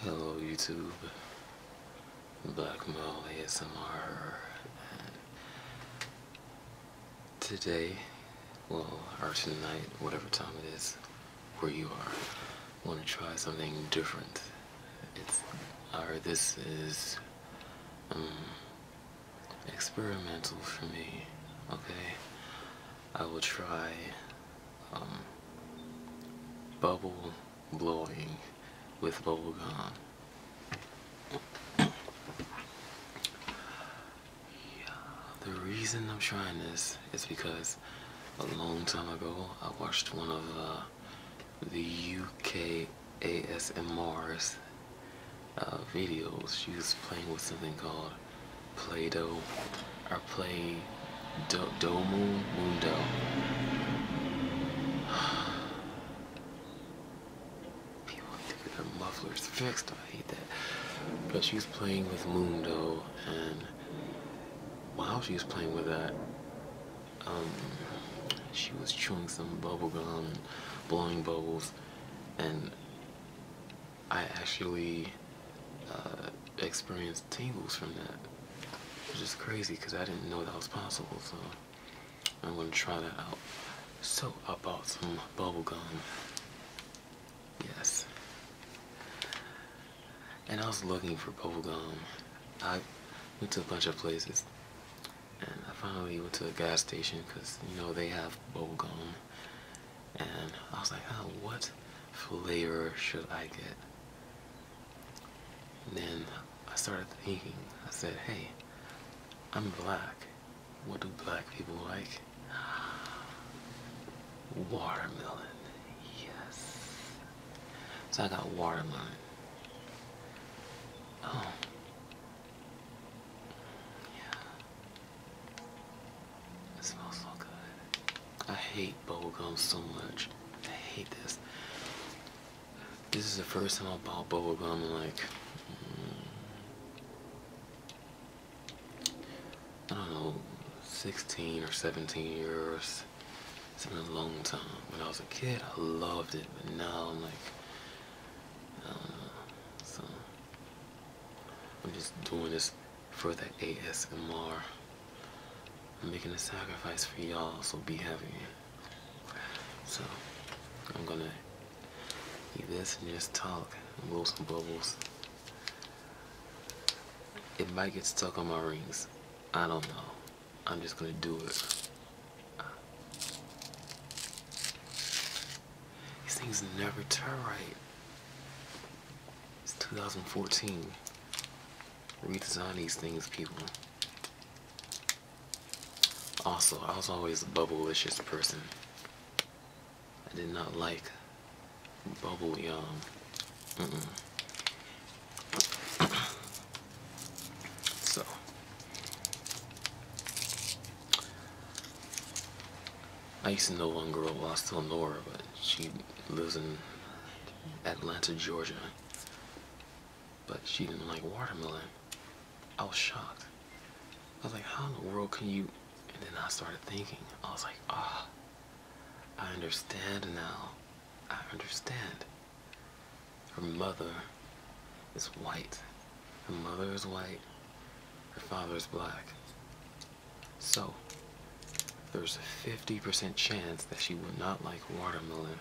Hello YouTube, Black Molly S M R. today, well, or tonight, whatever time it is, where you are, want to try something different. It's, or this is, um, experimental for me, okay? I will try um, bubble blowing with bubble gum. the reason I'm trying this is because a long time ago I watched one of uh, the UK ASMR's uh, videos. She was playing with something called Play-Doh or Play Do Domo Mundo. People need to get their mufflers fixed. I hate that. But she's playing with Mundo and while she was playing with that, um, she was chewing some bubblegum and blowing bubbles, and I actually uh, experienced tingles from that, It's just crazy because I didn't know that was possible. So I'm gonna try that out. So I bought some bubble gum. Yes. And I was looking for bubble gum. I went to a bunch of places, and I finally went to a gas station because you know they have bubble gum and I was like, oh, what flavor should I get? And then I started thinking, I said, hey, I'm black. What do black people like? Watermelon. Yes. So I got watermelon. Oh. Yeah. It smells so good. I hate bubblegum so much. I hate this. This is the first time I bought bubblegum like mm, I don't know, 16 or 17 years. It's been a long time. When I was a kid, I loved it, but now I'm like, I don't know. So, I'm just doing this for the ASMR. I'm making a sacrifice for y'all, so be happy. So, I'm gonna eat this and just talk and blow some bubbles. It might get stuck on my rings. I don't know. I'm just gonna do it. These things never turn right. It's 2014. Redesign these things, people. Also, I was always a bubblicious person. I did not like bubble yum. so, I used to know one girl, well, I still know her, but she lives in Atlanta, Georgia. But she didn't like watermelon. I was shocked. I was like, how in the world can you? And then I started thinking. I was like, ah, I understand now. I understand. Her mother is white. Her mother is white. Her father is black. So, there's a 50% chance that she will not like watermelon.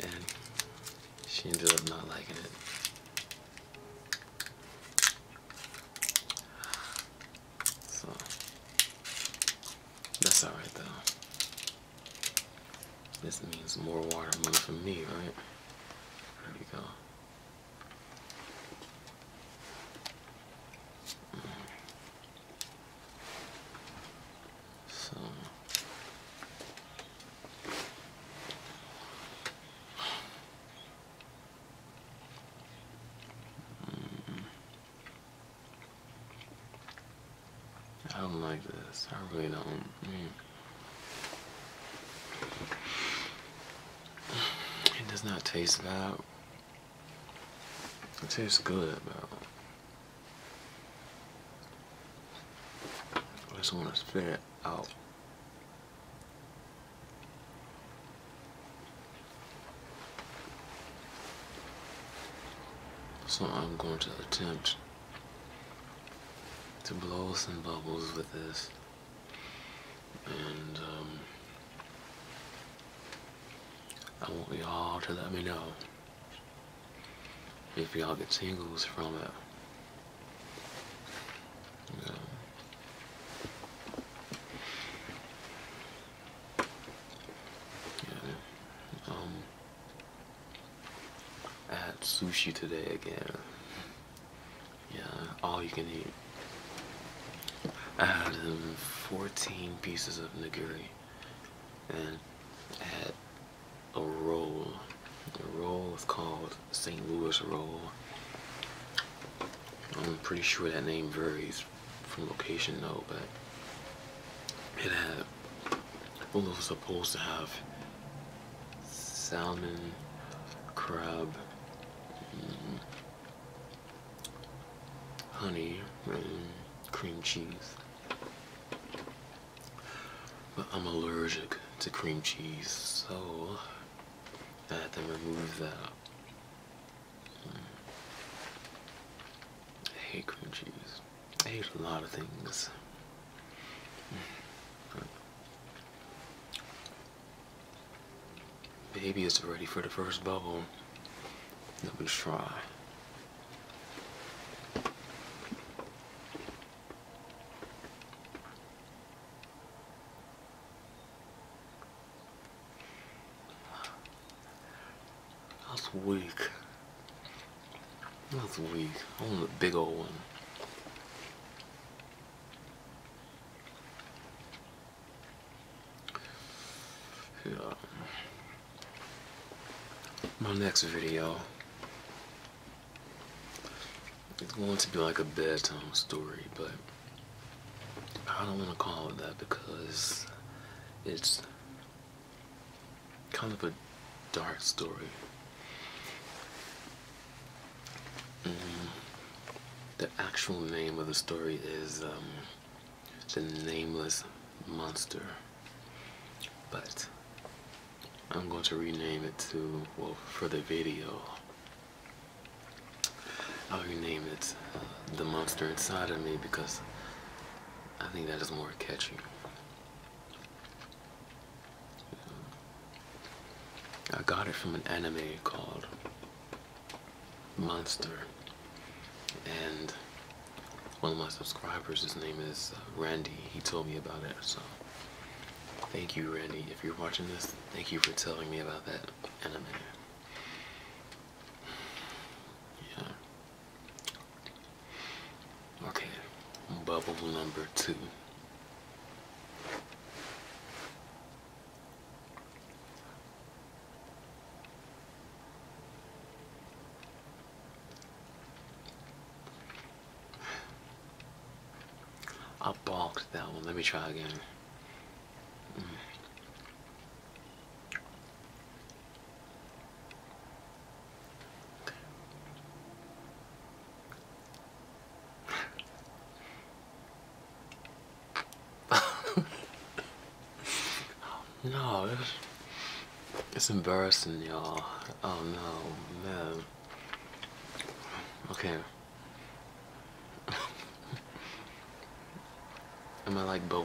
And she ended up not liking it. So, that's alright though. This means more watermelon for me, right? There we go. So. Mm. I don't like this. I really don't. It does not taste bad. It tastes good, but I just want to spit it out. So I'm going to attempt to blow some bubbles with this. And um, I want y'all to let me know if y'all get tingles from it. Yeah. Um, I had sushi today again. Yeah, all you can eat. I had 14 pieces of nigiri and had a roll. The roll was called St. Louis roll. I'm pretty sure that name varies from location though, but it had, it was supposed to have salmon, crab, Mm-hmm. honey mm, cream cheese. But I'm allergic to cream cheese, so I had to remove that. Mm. I hate cream cheese. I hate a lot of things. Mm. Baby is ready for the first bubble. Let me try. That's weak. That's weak. I want a big old one. Yeah. My next video is going to be like a bedtime story, but I don't want to call it that because it's kind of a dark story. Mm-hmm. the actual name of the story is um, The Nameless Monster, but I'm going to rename it to, for the video, I'll rename it uh, The Monster Inside of Me because I think that is more catchy. I got it from an anime called Monster, and one of my subscribers, his name is uh, Randy, he told me about it. So, thank you, Randy. If you're watching this, thank you for telling me about that anime. Yeah. Okay, bubble number two. I balked that one. Let me try again oh, no, it's, embarrassing, y'all. Oh no, man. Okay. Am I like bubble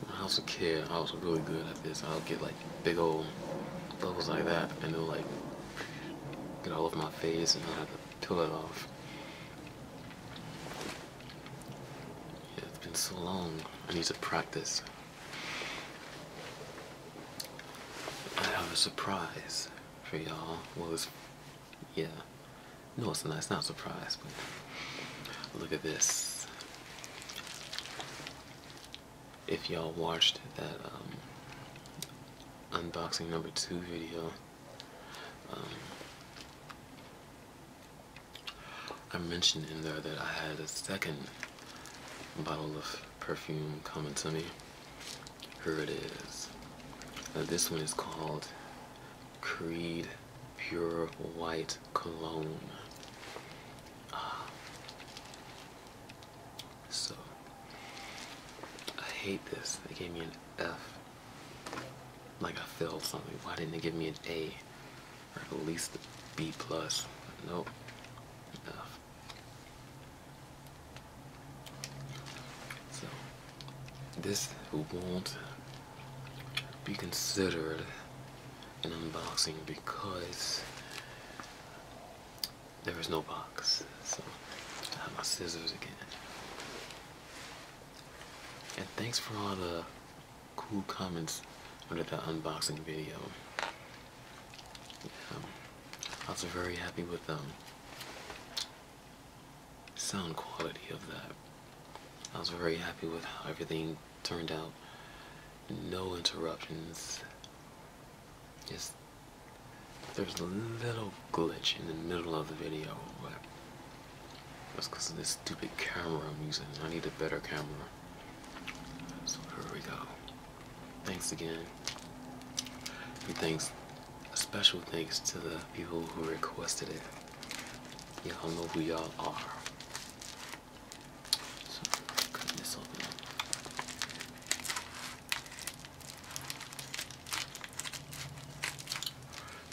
When I was a kid, I was really good at this. I would get like big old bubbles like that, and it would like get all over my face, and I had to peel it off. Yeah, it's been so long. I need to practice. I have a surprise for y'all. Well, it's, yeah. No, it's not. It's not a surprise, but look at this if y'all watched that um, unboxing number two video. Um, I mentioned in there that I had a second bottle of perfume coming to me. Here it is. this one is called Creed Pure White Cologne. Ah. so I hate this. They gave me an F. Like I failed something. Why didn't they give me an A or at least a B plus? Nope. F. So this won't be considered an unboxing because there is no box. So I have my scissors again. And thanks for all the cool comments under that unboxing video. Um, I was very happy with the um, sound quality of that. I was very happy with everything turned out. No interruptions. Just there's a little glitch in the middle of the video, but that's because of this stupid camera I'm using. I need a better camera. So here we go. Thanks again. And thanks, special thanks to the people who requested it. Y'all know who y'all are.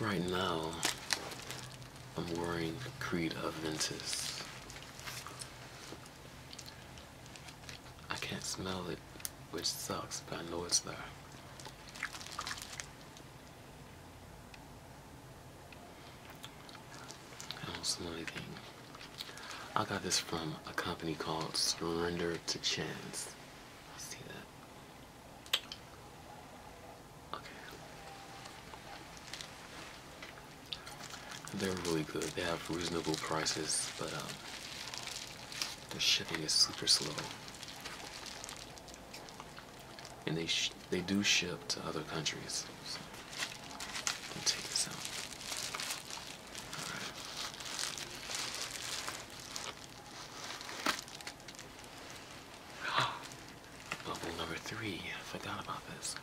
Right now, I'm wearing Creed Aventus. I can't smell it, which sucks, but I know it's there. I don't another anything. I got this from a company called Surrender to Chance. See that? Okay. They're really good. They have reasonable prices, but um, the shipping is super slow and they they do ship to other countries. So, let take this out. All right. Bubble number three. I forgot about this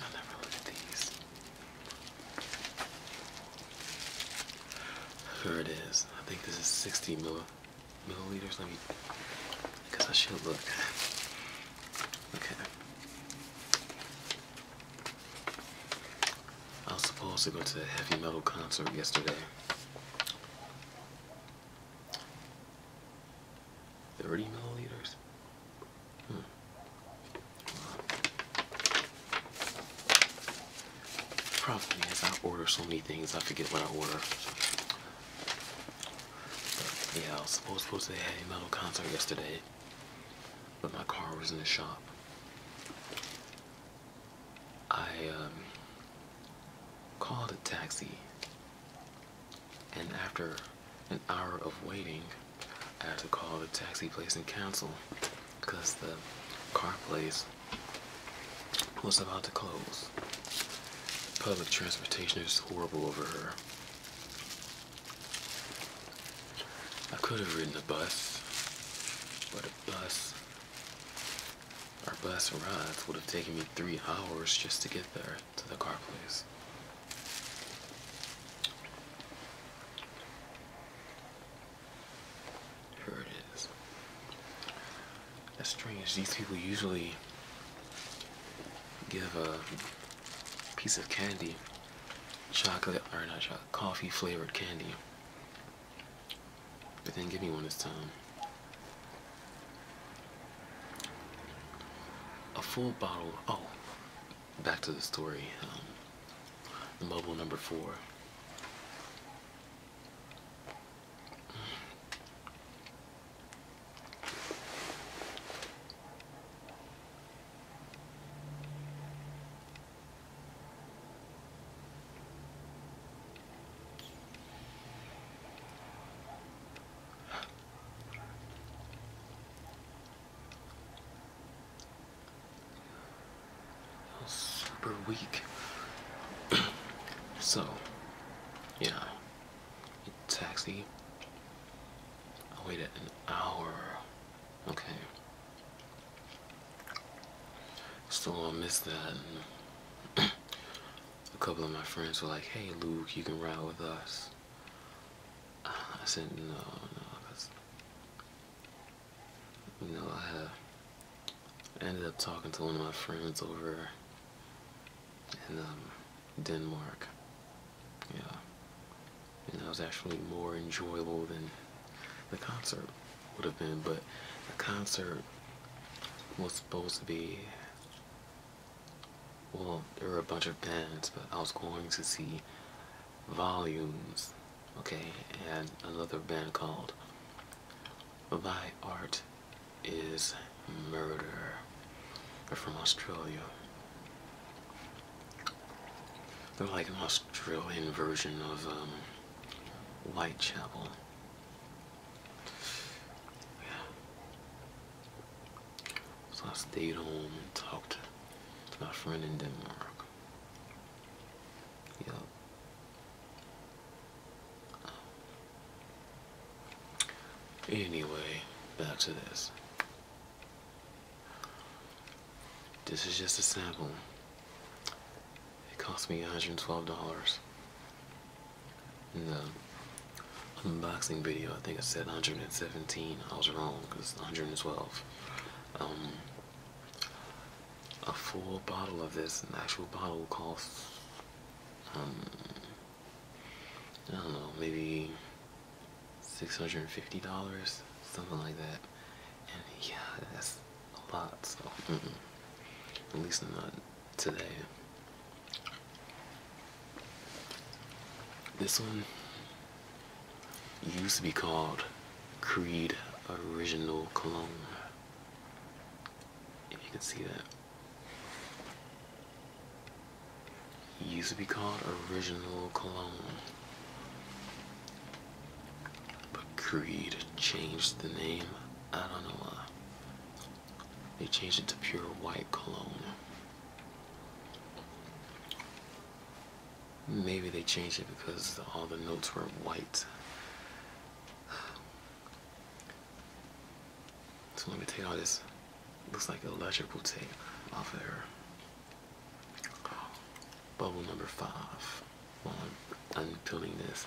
i never look at these. Here it is. I think this is 60 mil milliliters. Let me, because I should look. Okay. I was supposed to go to a heavy metal concert yesterday. Thirty milliliters. Hmm. I order so many things, I forget what I order yeah, I was supposed, supposed to have metal concert yesterday, but my car was in the shop. I um, called a taxi, and after an hour of waiting, I had to call the taxi place and cancel because the car place was about to close. Public transportation is horrible over here. I could have ridden a bus, but a bus, our bus rides would have taken me three hours just to get there to the car place. Here it is. That's strange. These people usually give a piece of candy, chocolate, or not chocolate, coffee flavored candy. But then give me one this time. A full bottle. Oh, back to the story. Um, the mobile number four super weak. so, yeah taxi. I waited an hour. Okay. So I missed that. a couple of my friends were like, hey, Luke, you can ride with us. I said, no, no, because, you know, I have I ended up talking to one of my friends over in um, Denmark. Yeah. And that was actually more enjoyable than the concert would have been. But the concert was supposed to be, well, there were a bunch of bands, but I was going to see Volumes, okay, and another band called my art is murder. They're from Australia. They're like an Australian version of um, Whitechapel. Yeah. So I stayed home and talked to my friend in Denmark. Yep. Anyway, back to this. This is just a sample. It cost me $112. In the unboxing video, I think I said 117. I was wrong, because 112. Um, a full bottle of this, an actual bottle, costs um, I don't know, maybe $650, something like that. And yeah, that's a lot, so at least not today. This one used to be called Creed Original Cologne if you can see that. It used to be called Original Cologne. But Creed changed the name. I don't know why. They changed it to Pure White Cologne. Maybe they changed it because all the notes were white. So let me take all this, looks like electrical tape off of her. Bubble number five while I'm unpeeling this.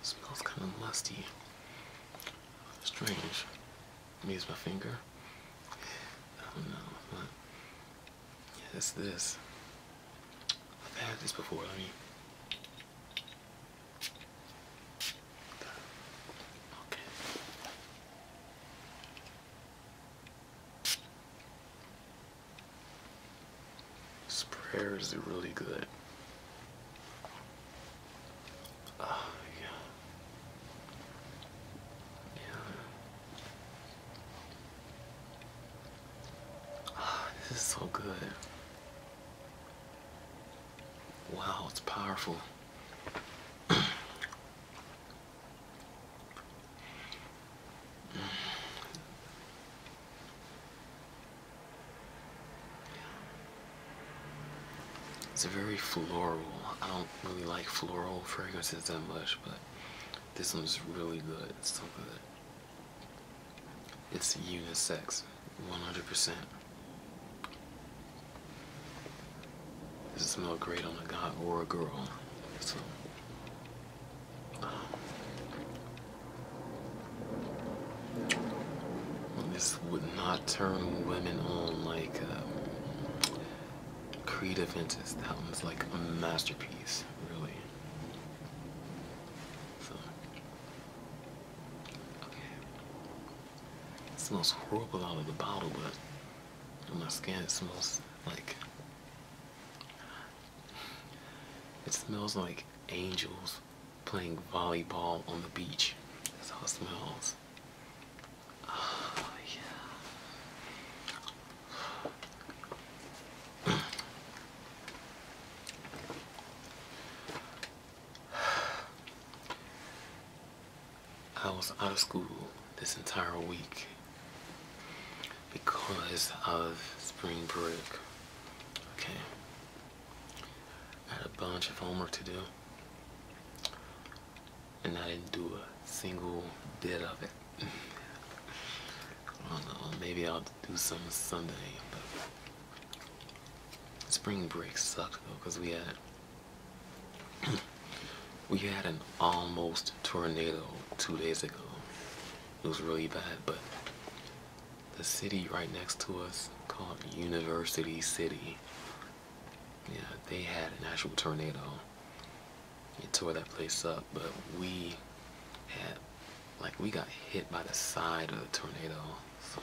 It smells kind of musty. Strange. Maybe it's my finger. I don't know, but yeah, it's this. I've had this before. I mean, Okay. Sprayer is really good. Oh, yeah. Yeah. this is so good. Wow, it's powerful. It's a very floral. I don't really like floral fragrances that much, but this one's really good. It's so good. It's unisex, 100%. This smell great on a guy or a girl. So, um, this would not turn women on like um, Creed Aventus. That one's like a masterpiece, really. Fuck. Okay. It smells horrible out of the bottle, but my skin smells like. It smells like angels playing volleyball on the beach. That's how it smells. Oh, yeah. I was out of school this entire week because of spring break. Okay. I had a bunch of homework to do. And I didn't do a single bit of it. I don't know, maybe I'll do something Sunday, but spring break sucked though, because we had, we had an almost tornado two days ago. It was really bad, but the city right next to us called University City, yeah, they had an actual tornado. It tore that place up, but we had like we got hit by the side of the tornado so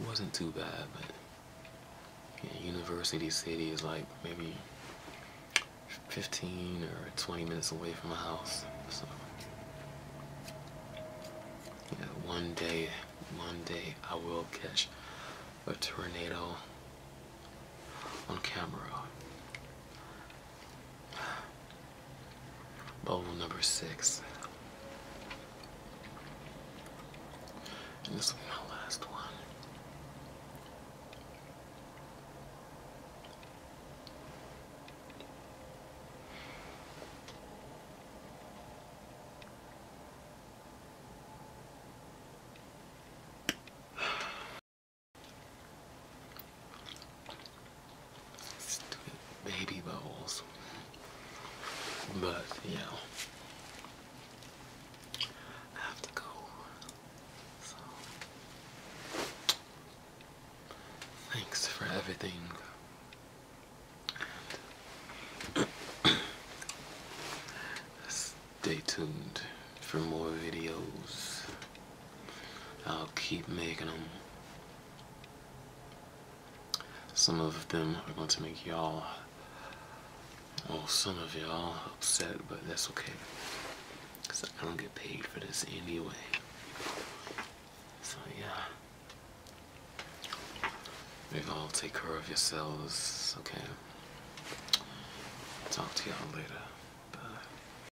it wasn't too bad but university city is like maybe 15 or 20 minutes away from my house so yeah, one day one day i will catch a tornado on camera Bubble number six. this will my last one baby bowls. But, you know, I have to go. So, thanks for everything. stay tuned for more videos. I'll keep making them. Some of them are going to make y'all, well, some of y'all upset, but that's okay. Because I don't get paid for this anyway. So, yeah. You all take care of yourselves, okay? Talk to y'all later. Bye.